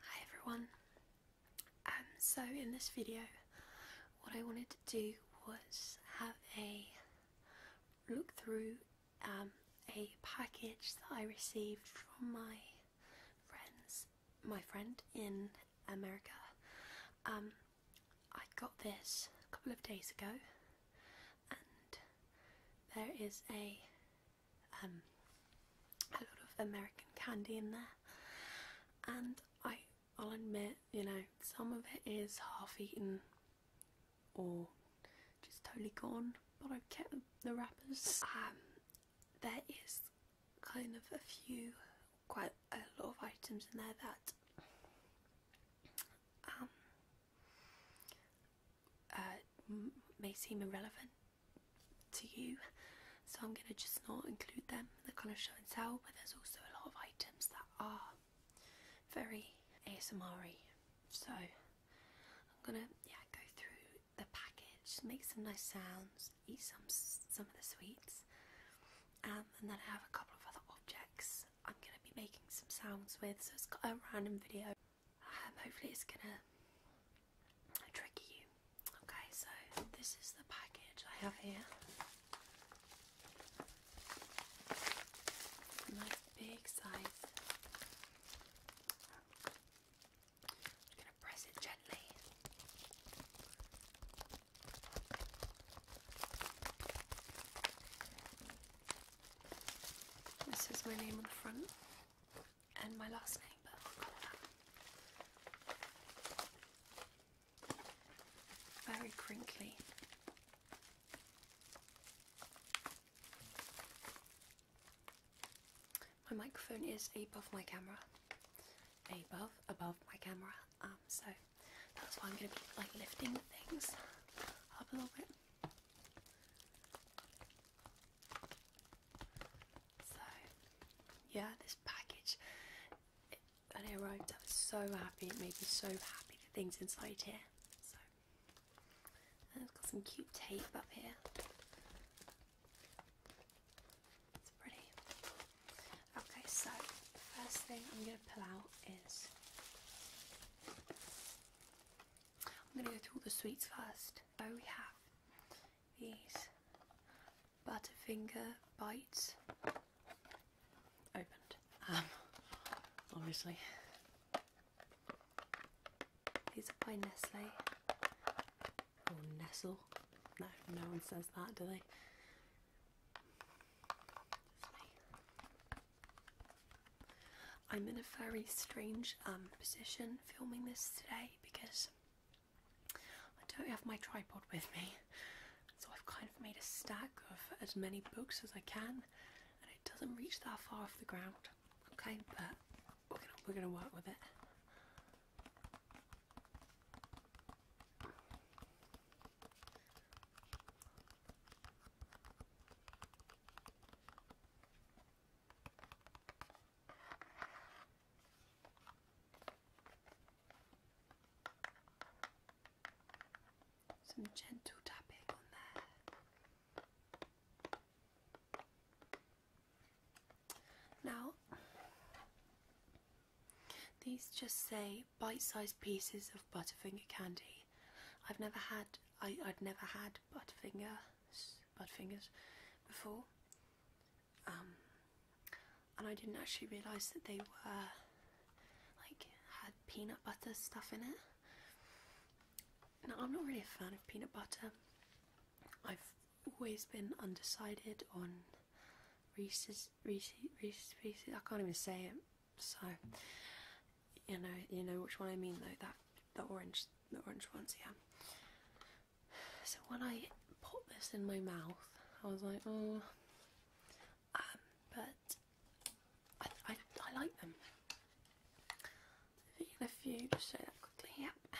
Hi everyone. Um, so in this video, what I wanted to do was have a look through um, a package that I received from my friends, my friend in America. Um, I got this a couple of days ago, and there is a um, a lot of American candy in there, and I, will admit, you know, some of it is half eaten or just totally gone, but I've kept the wrappers. Um, there is kind of a few, quite a lot of items in there that um, uh, may seem irrelevant to you. So I'm going to just not include them in the kind of show and tell, but there's also a lot of items that are very ASMR So I'm going to yeah go through the package, make some nice sounds, eat some some of the sweets, um, and then I have a couple of other objects I'm going to be making some sounds with. So it's got a random video um, hopefully it's gonna trigger you. Okay, so this is the package I have here. Nice big size. i gonna press it gently. This is my name on the front and my last name, but Very crinkly. My microphone is above my camera. Above, above my camera. Um, so that's why I'm going to be like lifting things up a little bit. So, yeah, this package, it, it arrived, I was so happy. It made me so happy the things inside here. So, it's got some cute tape up here. It's pretty. Okay, so the first thing I'm going to pull out is I'm going to go through all the sweets first. Oh, we have these Butterfinger bites opened, um, obviously. These are by Nestle Nestle. No, no one says that, do they? I'm in a very strange um, position filming this today because I don't have my tripod with me, so I've kind of made a stack of as many books as I can, and it doesn't reach that far off the ground. Okay, but we're gonna work with it. Some gentle tapping on there. Now, these just say bite sized pieces of Butterfinger candy. I've never had I, I'd never had Butterfinger, Butterfingers before. Um, and I didn't actually realise that they were like had peanut butter stuff in it. Now I'm not really a fan of peanut butter. I've always been undecided on Reese's Reese's Reese's Pieces. I can't even say it. So you know, you know which one I mean though. That the orange, the orange ones, yeah. So when I put this in my mouth, I was like, oh. Um, but I, I, like them. In a few, just show that quickly. Yep.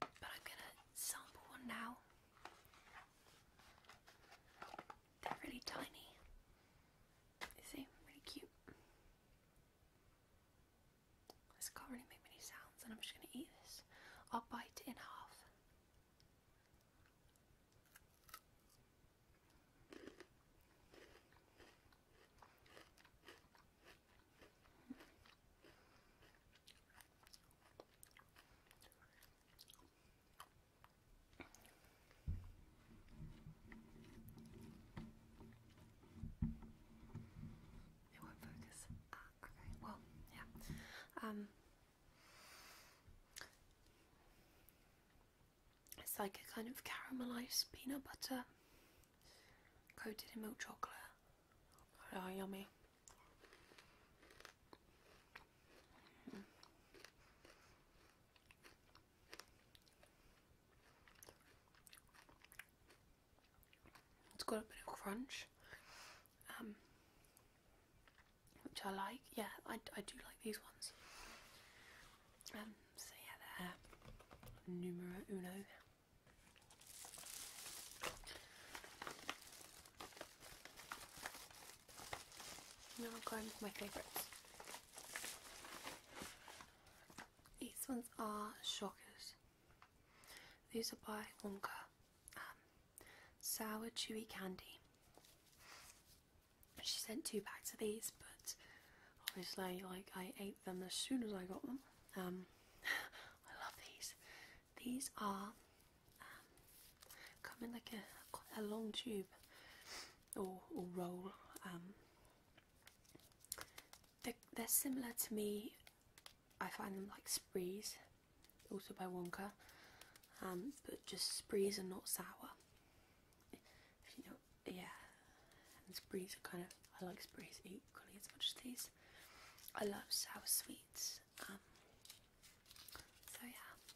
but I'm gonna sample one now. They're really tiny. You see, cute. This can't really make many sounds, and I'm just gonna eat this. I'll bite in half. It won't focus. Ah, okay. Well, yeah. Um, it's like a kind of caramelized peanut butter coated in milk chocolate. Oh, yummy. It's got a bit of crunch, um, which I like. Yeah, I, I do like these ones. Um, so yeah, they're numero uno. Now I'm going with my favourites. These ones are shockers. These are by Wonka. Um, sour chewy candy. She sent two packs of these, but obviously, like I ate them as soon as I got them. Um, I love these. These are um, come in like a long tube, or, roll. Um, they're, similar to me. I find them like sprees, also by Wonka, um, but just sprees are not sour. yeah, and sprees are kind of I like sprees equally as much as these. I love sour sweets. Um, so yeah,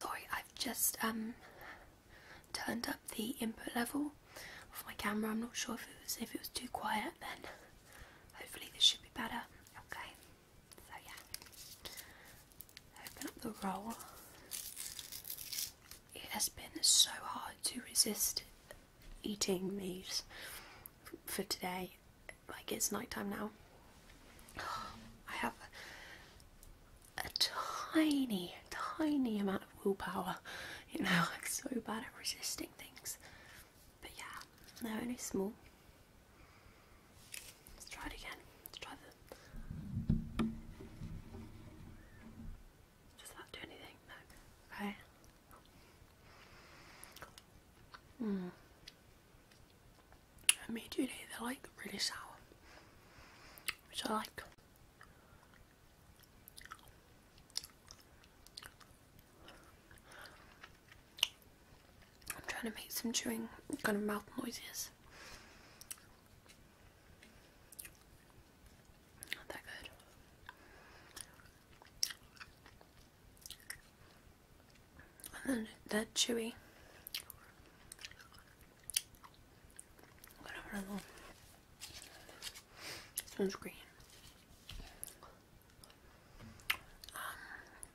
Sorry, I've just um turned up the input level of my camera. I'm not sure if it was if it was too quiet then. Hopefully this should be better. Okay. So yeah. Open up the roll. It has been so hard to resist eating these for today. Like it's nighttime now. I have a tiny, tiny amount of willpower. You know, like so bad at resisting things. But yeah, they're only small. Let's try it again. Let's try the. Does that do anything? No. Okay. Mm. Immediately they're like really sour, which I like. I'm trying to make some chewing kind of mouth noises. Not that good. And that chewy. Whatever the this one's green. Um,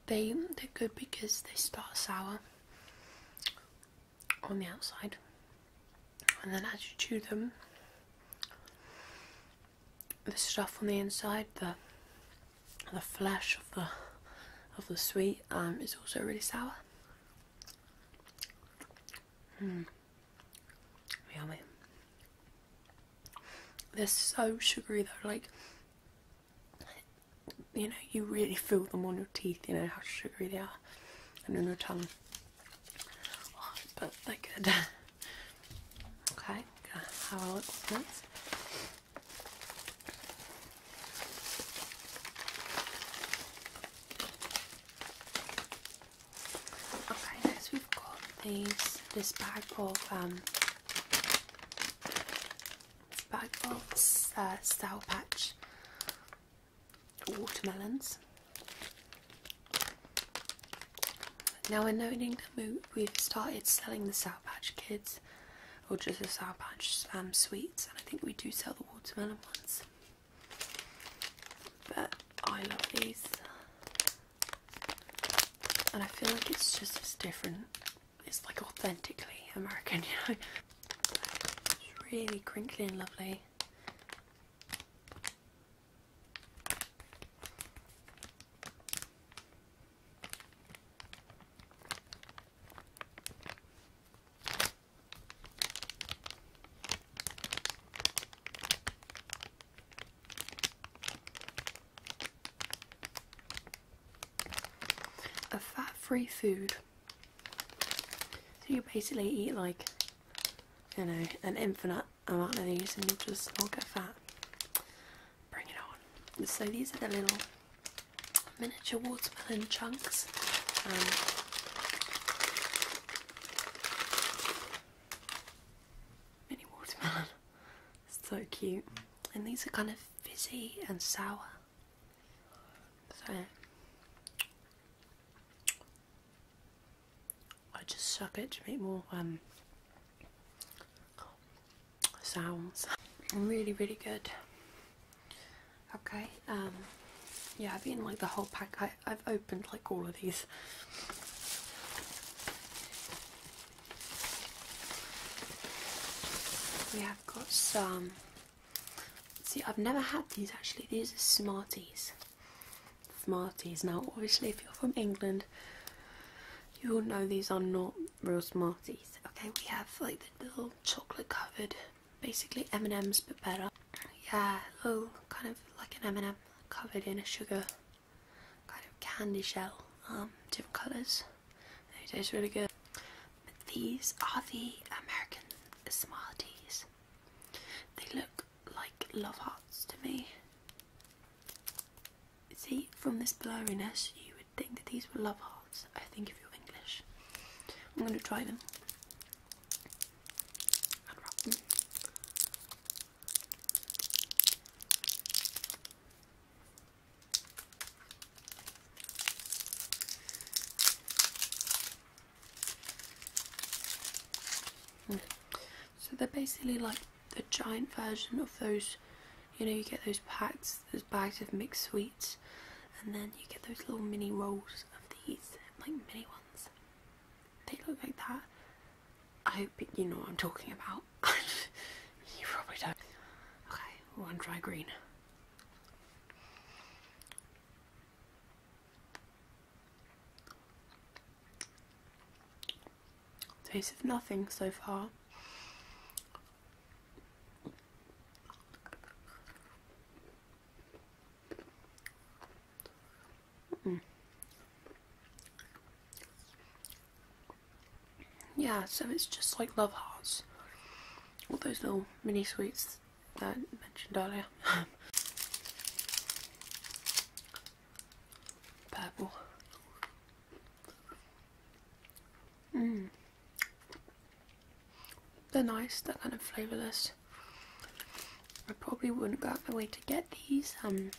they they're good because they start sour on the outside, and then as you chew them, the stuff on the inside, the the flesh of the of the sweet, um, is also really sour. Hmm, yummy. They're so sugary though, like you know, you really feel them on your teeth, you know how sugary they are, and on your tongue but they're good. Okay, gonna have a next. Okay, next we've got these this bag of um bag of uh, Style Patch watermelons. Now I know in England we've started selling the Sour Patch Kids or just the Sour Patch um, sweets and I think we do sell the watermelon ones. But I love these and I feel like it's just as different. It's like authentically American, you know. It's really crinkly and lovely. A fat free food. So you basically eat like, you know, an infinite amount of these and you'll just all get fat. Bring it on. So these are the little miniature watermelon chunks. Um, mini watermelon. so cute. And these are kind of fizzy and sour. So I just suck it to make more um, sounds. Really, really good. Okay, um, yeah, I've been like the whole pack. I, I've opened like all of these. We have got some See, I've never had these actually. These are Smarties. Smarties. Now, obviously, if you're from England, you will know these are not real Smarties. Okay, we have like the little chocolate covered, basically M&Ms but better. Yeah, little kind of like an M&M covered in a sugar kind of candy shell. Um, different colours. They taste really good. But these are the American small teas. They look like love hearts to me. See, from this blurriness, you would think that these were love hearts. I think if you're English, I'm going to try them. So they're basically like the giant version of those, you know, you get those packs, those bags of mixed sweets, and then you get those little mini rolls of these, like mini ones. They look like that. I hope you know what I'm talking about. you probably don't. Okay, we're on dry green. Taste of nothing so far. Mm. Yeah, so it's just like love hearts all those little mini sweets that I mentioned earlier. Purple. Mmm. They're nice, they're kind of flavourless. I probably wouldn't go out my way to get these, um,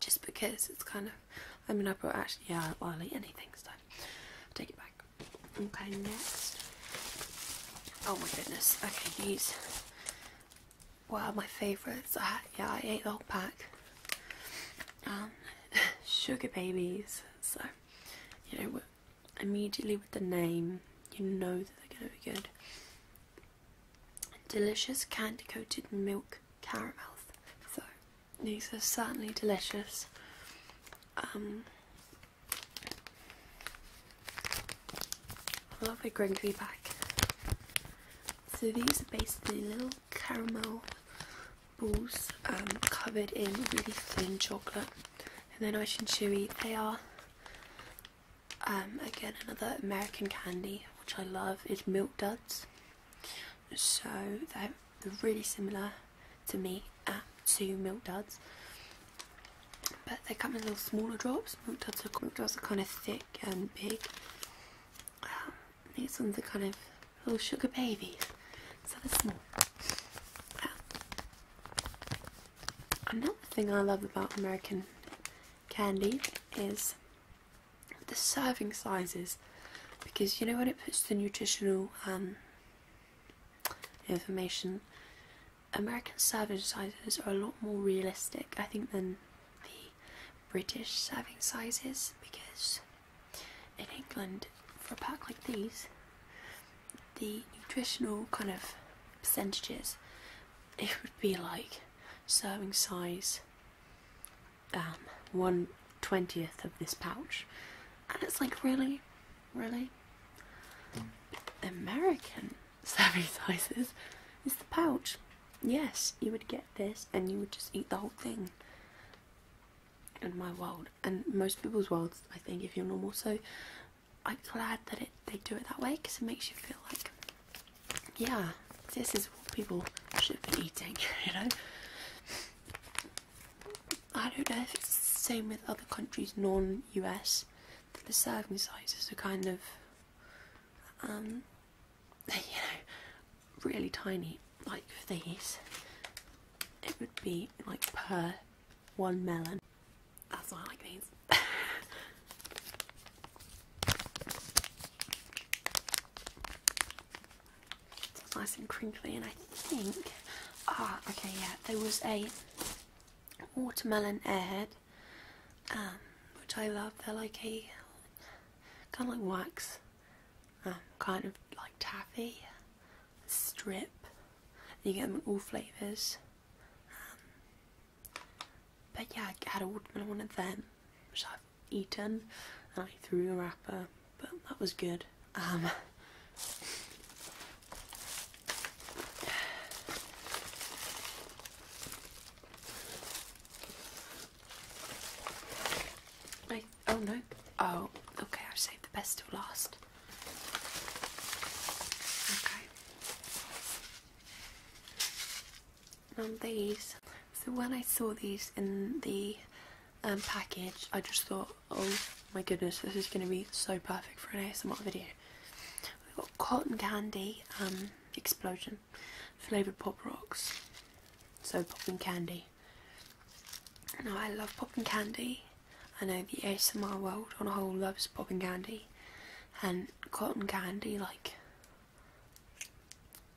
just because it's kind of I mean, I brought actually, yeah, well, I'll eat anything, so take it back. Okay, next. Oh my goodness. Okay, these are my favourites. yeah, I ate the whole pack. Um, sugar babies. So, you know, immediately with the name, you know that they're going to be good. Delicious candy coated milk caramels. So, these are certainly delicious. Um, I love a crinkly pack. So these are basically little caramel balls um, covered in really thin chocolate. And then Nice and Chewy, they are um, again another American candy which I love is Milk Duds so they're, really similar to me uh, to milk duds but they come in little smaller drops milk duds are, milk duds are kind of thick and big um, these ones are kind of little sugar babies so they're small um, another thing I love about American candy is the serving sizes because you know when it puts the nutritional um, information, American serving sizes are a lot more realistic, I think, than the British serving sizes because in England, for a pack like these, the nutritional kind of percentages, it would be like serving size um, one twentieth of this pouch, and it's like really, really American savvy sizes is the pouch. Yes, you would get this, and you would just eat the whole thing. In my world, and most people's worlds, I think, if you're normal, so I'm glad that it they do it that way because it makes you feel like yeah, this is what people should be eating, you know. I don't know if it's the same with other countries non-US, the serving sizes are kind of, um, you know, really tiny, like for these. It would be like per one melon. That's why I like these. nice and crinkly, and I think ah okay yeah there was a watermelon ad, um, which I love. They're like a kind of like wax, um, kind of like taffy strip. you get them in all flavours. Um, but yeah, I had all I wanted then, which I've eaten, and I threw a wrapper, but that was good. Um, oh no, oh, okay, i saved the best till last. Okay and um, these so when I saw these in the um, package I just thought oh my goodness this is going to be so perfect for an ASMR video we've got cotton candy um, explosion flavoured pop rocks so popping candy now I love popping candy I know the ASMR world on a whole loves popping candy and cotton candy like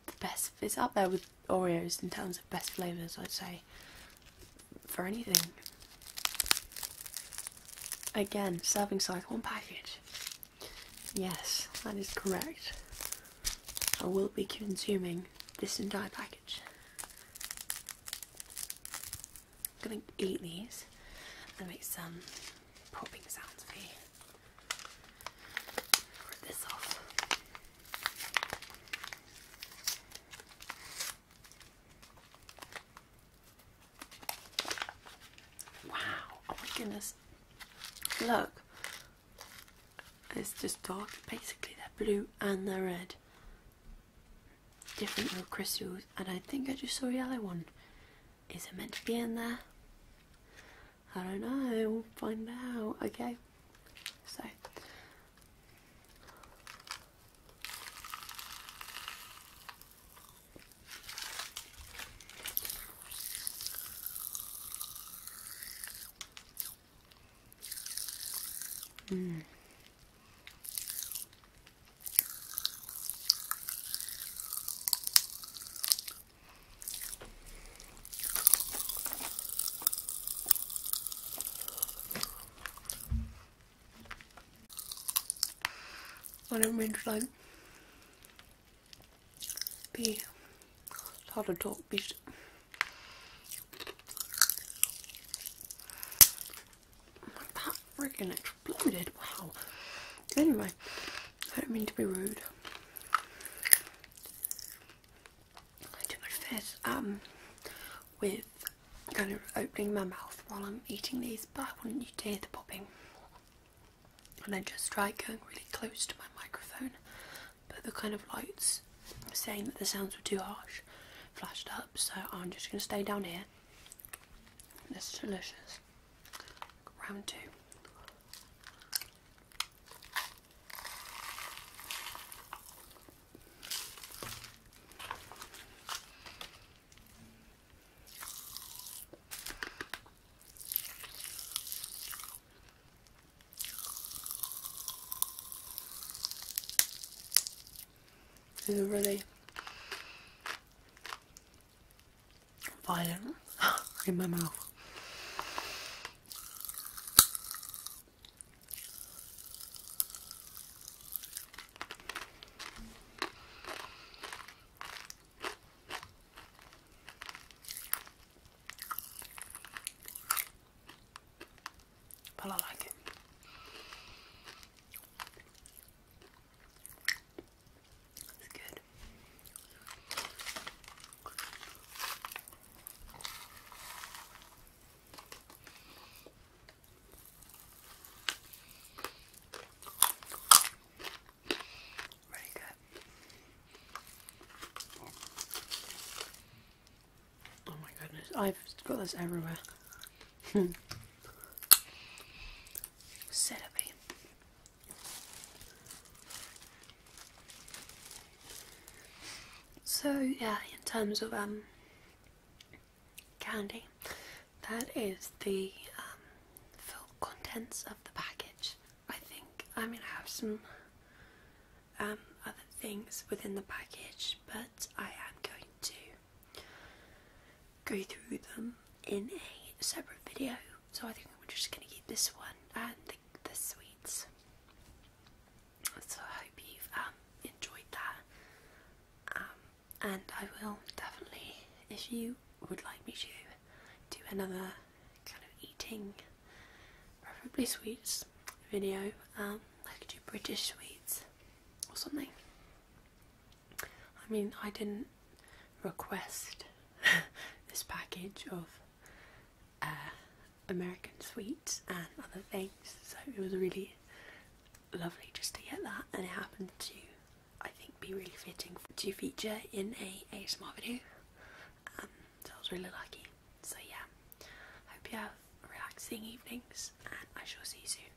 the best. It's up there with Oreos in terms of best flavours, I'd say, for anything. Again, serving size, one package. Yes, that is correct. I will be consuming this entire package. I'm gonna eat these and make some popping sounds for you. Wow, oh my goodness. Look, it's just dark. Basically, they're blue and they're red. Different little crystals, and I think I just saw a yellow one. Is it meant to be in there? I don't know, we'll find out, okay? So, mm. One of means like be it's hard to talk bitch. That friggin' exploded, wow. Anyway. I don't mean to be rude. I do adverse um with kind of opening my mouth while I'm eating these, but I wouldn't you dare the popping. And I just tried going really close to my microphone, but the kind of lights saying that the sounds were too harsh flashed up, so I'm just gonna stay down here. This is delicious. Round two. This is violent in my mouth. But I like it. It's good. Really good. Oh my goodness, I've got this everywhere. So yeah, in terms of um candy, that is the um, full contents of the package. I think i mean I have some um, other things within the package, but I am going to go through them in a separate video. So I think we're just going to keep this one and the, sweets. So I hope you've um, enjoyed that. Um, and I will definitely, if you would like me to, do another kind of eating, preferably sweets video. Um, I could do British sweets or something. I mean, I didn't request this package of uh, American sweets and other things, so it was really lovely just to get that, and it happened to, I think, be really fitting to feature in a ASMR video. Um, so I was really lucky. So yeah, hope you have relaxing evenings, and I shall see you soon.